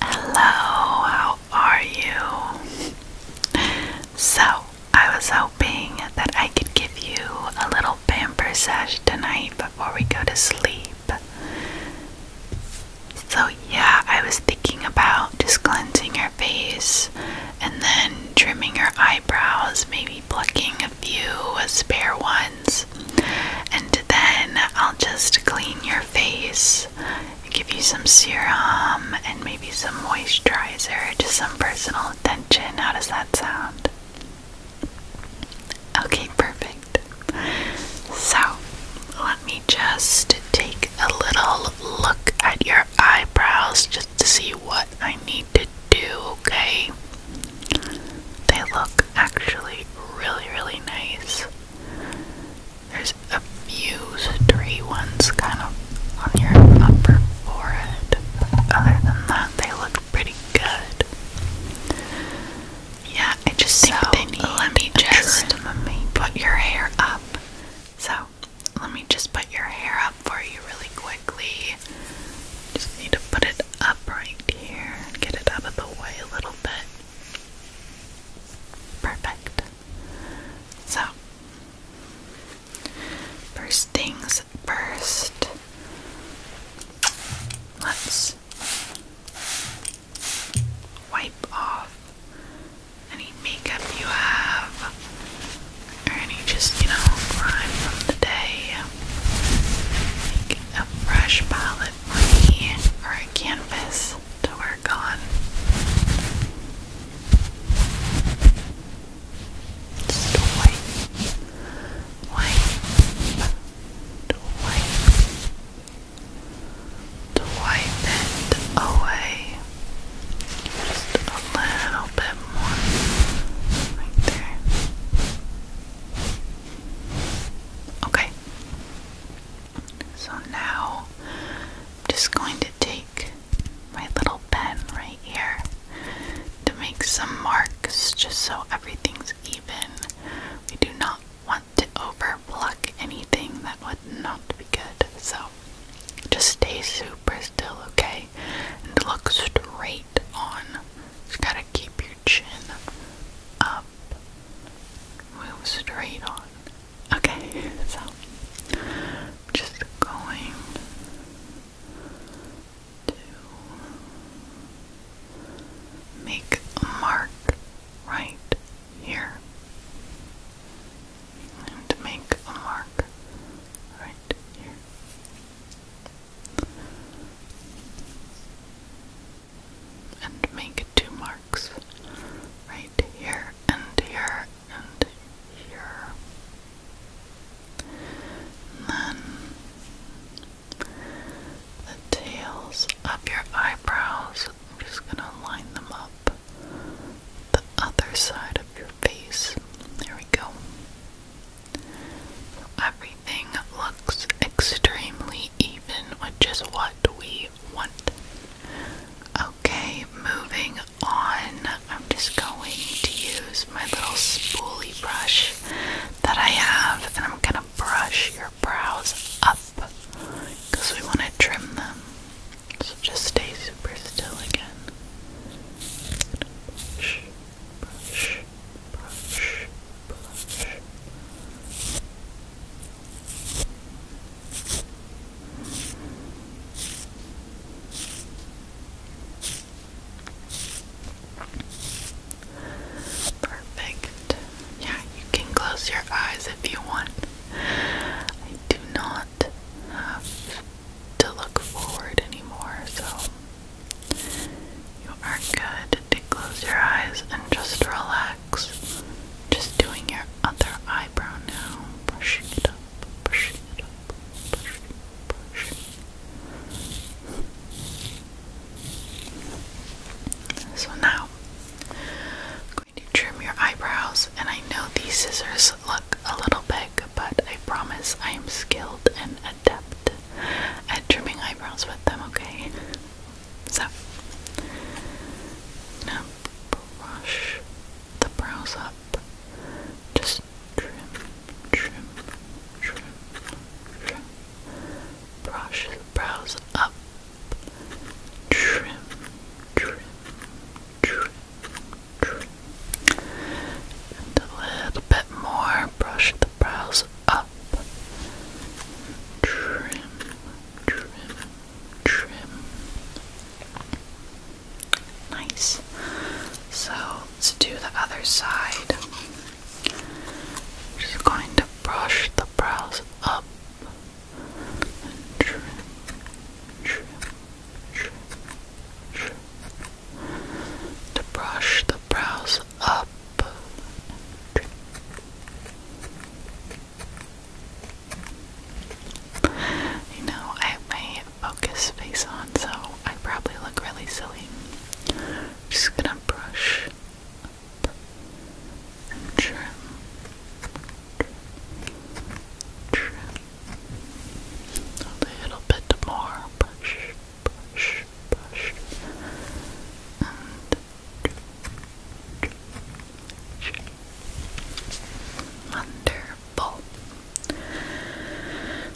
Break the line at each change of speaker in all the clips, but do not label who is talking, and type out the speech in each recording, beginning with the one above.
Hello, how are you? So, I was hoping that I could give you a little pamper sesh tonight before we go to sleep. So, yeah, I was thinking about just cleansing your face and then trimming your eyebrows, maybe plucking a few spare ones, and then I'll just clean your face, give you some serum and maybe some moisturizer, just some personal attention. How does that sound? Okay, perfect. So let me just take a little look at your eyebrows just to see what I need to do, okay? They look actually really, really nice. There's a few stray ones kind of on your upper forehead. Other than that, they look pretty good. Yeah, I just so think they need let me just trim. put your hair up. So let me just put your hair up for you really quickly. Just need to put it up right here and get it out of the way a little bit. Perfect. So, first things first, let's wipe off. Any any makeup you have, or any just, you know, from the day. Make a fresh palette for me, or a canvas to work on. wipe, wipe, wipe it away. Just a little bit more right there. Okay. So now I'm just going to take my little pen right here to make some marks just so everything's even. We do not want to over anything that would not be good. So just stay super we still okay. And look straight on. Just gotta keep your chin up. Move straight on. Okay, so just going to make a mark right here and make a mark right here. And make two marks right here and here and here. then the tails of your eyebrows, I'm just going to line them up the other side of your face. There we go. everything looks extremely even, which is what we want. Okay, moving on. I'm just going to use my little spoolie brush that I have, and I'm gonna brush your brows up because we want to trim them. So just stay super still again. Perfect. Yeah, you can close your eyes if you want I do not have to look forward anymore, so you are good to close your eyes and just relax. Just doing your other eyebrow now, brushing it up, brushing it up, brushing, brushing. So now, going to trim your eyebrows, and I know these scissors look a little big, but I promise I am skilled and adept at trimming eyebrows with them, okay? So, I'm brush the brows up. Just trim, trim, trim, trim. Brush the brows up, trim, trim, trim, trim. And a little bit more, brush the brows up. Trim, trim, trim. Nice. So let's do the other side. Just going to brush the brows up. To brush the brows up. You know, I have my focus face on, so I probably look really silly. Just gonna brush, up trim, trim, little bit more, push, push, push, Wonderful.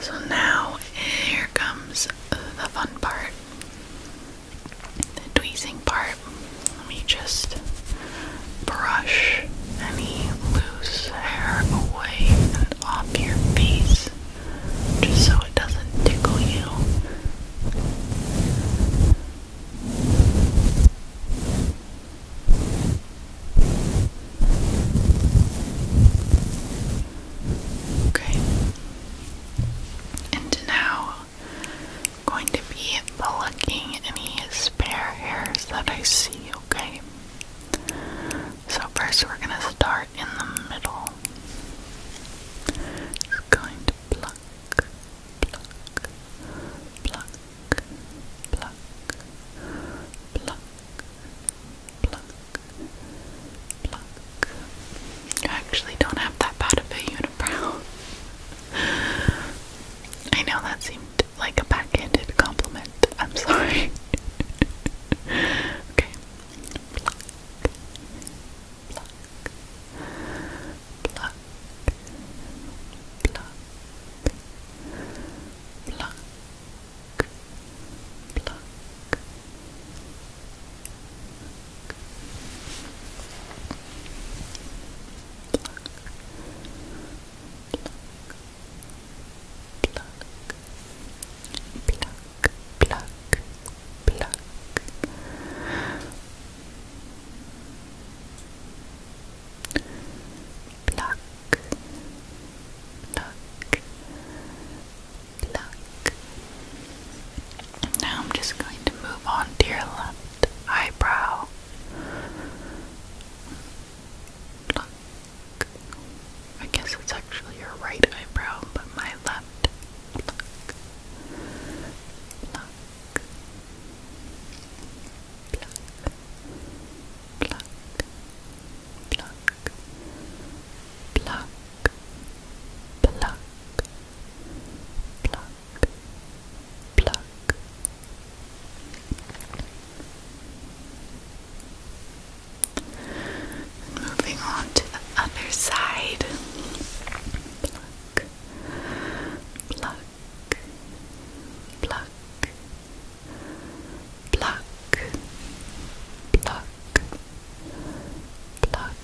So now here comes the fun part the tweezing part, Let me just brush any loose hair away and off your face just so it doesn't tickle you. Okay. And now going to be plucking any spare hairs that I see, okay? So, first we're going to start in the middle. Just going to pluck, pluck, pluck, pluck, pluck, pluck, pluck. I actually don't have that bad of a unibrow. I know that seemed like a backhanded compliment. I'm sorry pluck, pluck, pluck, pluck, pluck. Pluck, pluck, now I'm just going to move on to your left eyebrow. Pluck. I guess it's actually your right eyebrow, but my left. Pluck. Pluck. Pluck. Pluck. Pluck. Pluck. Pluck pluck. Moving on to the other side. Pluck, pluck, pluck, pluck, pluck, pluck,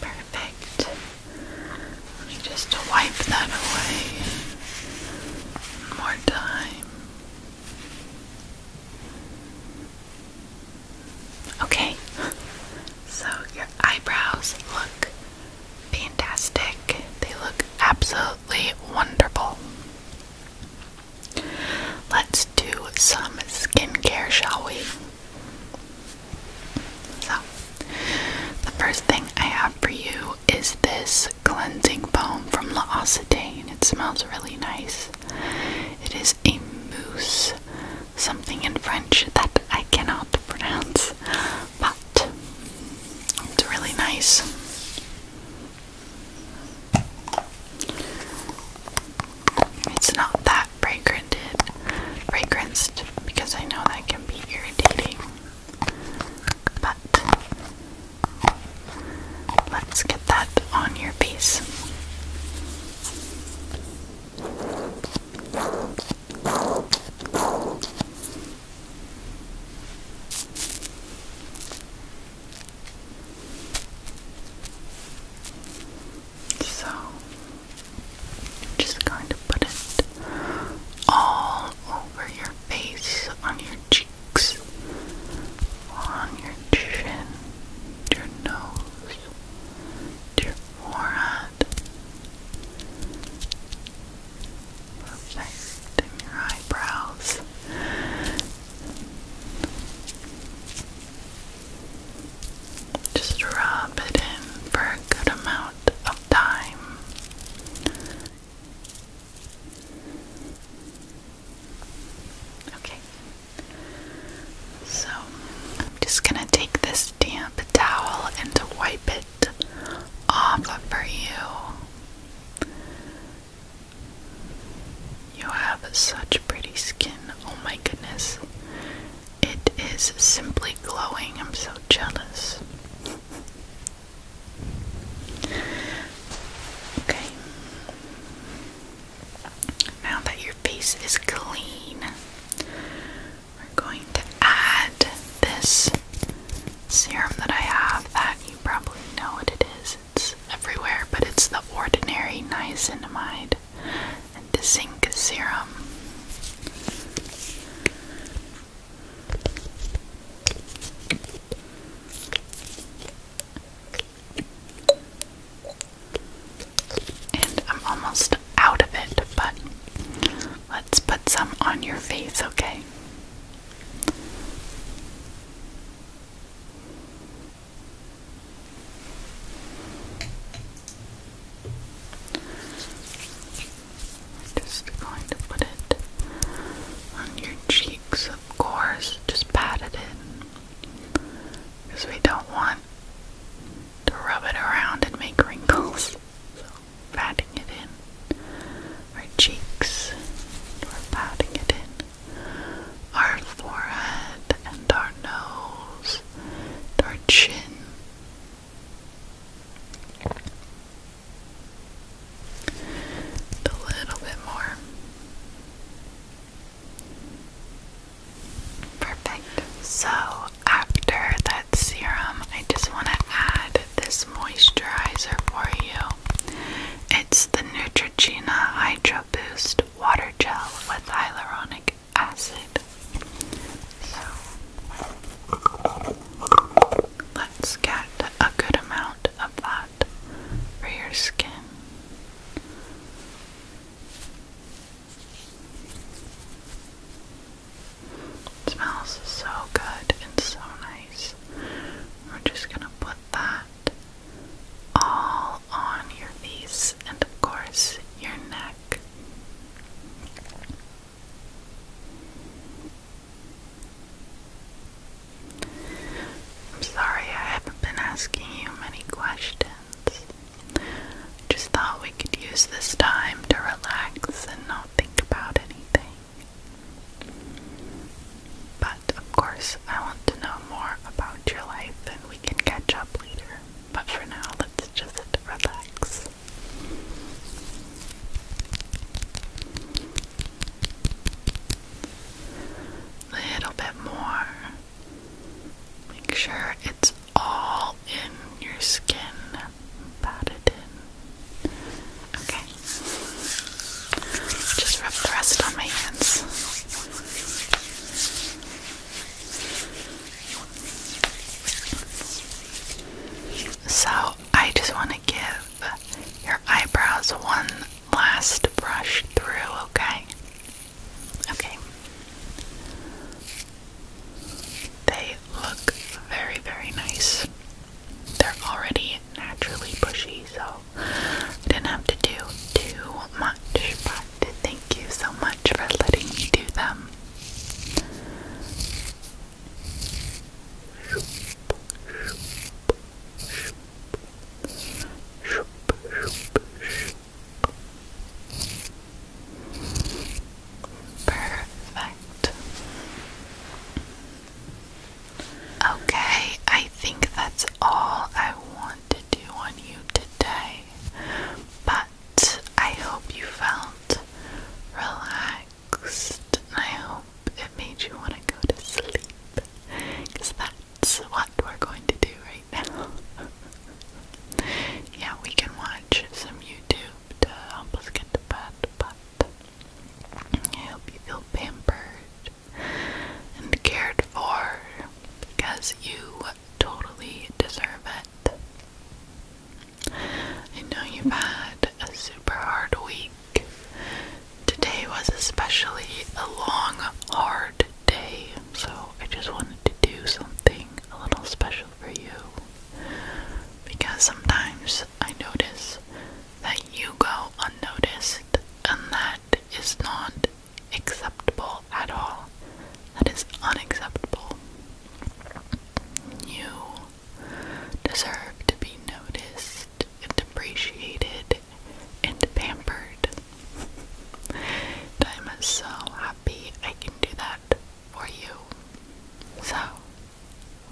Perfect. Just to wipe that away. more time. Okay, so your eyebrows look fantastic. They look absolutely wonderful. Let's do some skincare, shall we? So, the first thing I have for you is this cleansing foam from La Occitane. It smells really nice. It is a mousse something in French that I cannot pronounce, but it's really nice. It's not that fragranted, fragranced because I know that can be irritating. But let's get that on your face. So, i just going to put it all over your face, on your cheeks, on your chin, your nose, your forehead. Perfect. And your eyebrows. Just rub it in for a good amount of time. Okay, so I'm just gonna take this damp towel and wipe it off for you. You have such pretty skin. Oh my goodness. It is simply glowing. I'm so jealous. Okay. Now that your face is clean, we're going to add this serum that I have that you probably know what it is. It's everywhere, but it's the Ordinary Niacinamide and the Zinc Serum. And I'm almost out of it, but let's put some on your face, okay? Just going to put it on your cheeks, of course, just pat it in because we don't want to rub it around and make wrinkles. So, patting it in our cheeks, we're patting it in our forehead and our nose, and our chin. A little bit more. Perfect. So, after that serum, I just want to add this moisturizer for you. It's the Neutrogena Hydro Boost Water Gel with hyaluronic acid. So, let's get a good amount of that for your skin. smells so good and so nice. We're just gonna put that all on your face and, of course, your neck. I'm sorry I haven't been asking you many questions. Just thought we could use this time to relax and not think about anything. But of course, I want to know more about your life and we can catch up later. But for now, let's just relax little bit more. Make sure it's all in your skin. Pat it in. Okay. Just rub the rest on my hands. So, I just want to give your eyebrows one last brush through, okay? Okay. They look very, very nice. They're already naturally bushy, so didn't have to do too much, but thank you so much for letting me do them. Perfect. Okay, I think that's all I want to do on you today, but I hope you felt relaxed. I hope it made you want to go to sleep because that's what we're going to do right now. yeah, we can watch some YouTube to help us get to bed, but I hope you feel pampered and cared for because you totally deserve it. I know you've had a super hard week. Today was especially a long, hard day, so I just wanted to do something a little special for you. Because sometimes I notice that you go unnoticed, and that is not acceptable at all. That is unacceptable. You deserve to be noticed and appreciated and pampered. I'm so happy I can do that for you. So,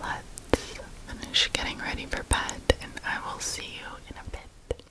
let's finish getting ready for bed and I will see you in a bit.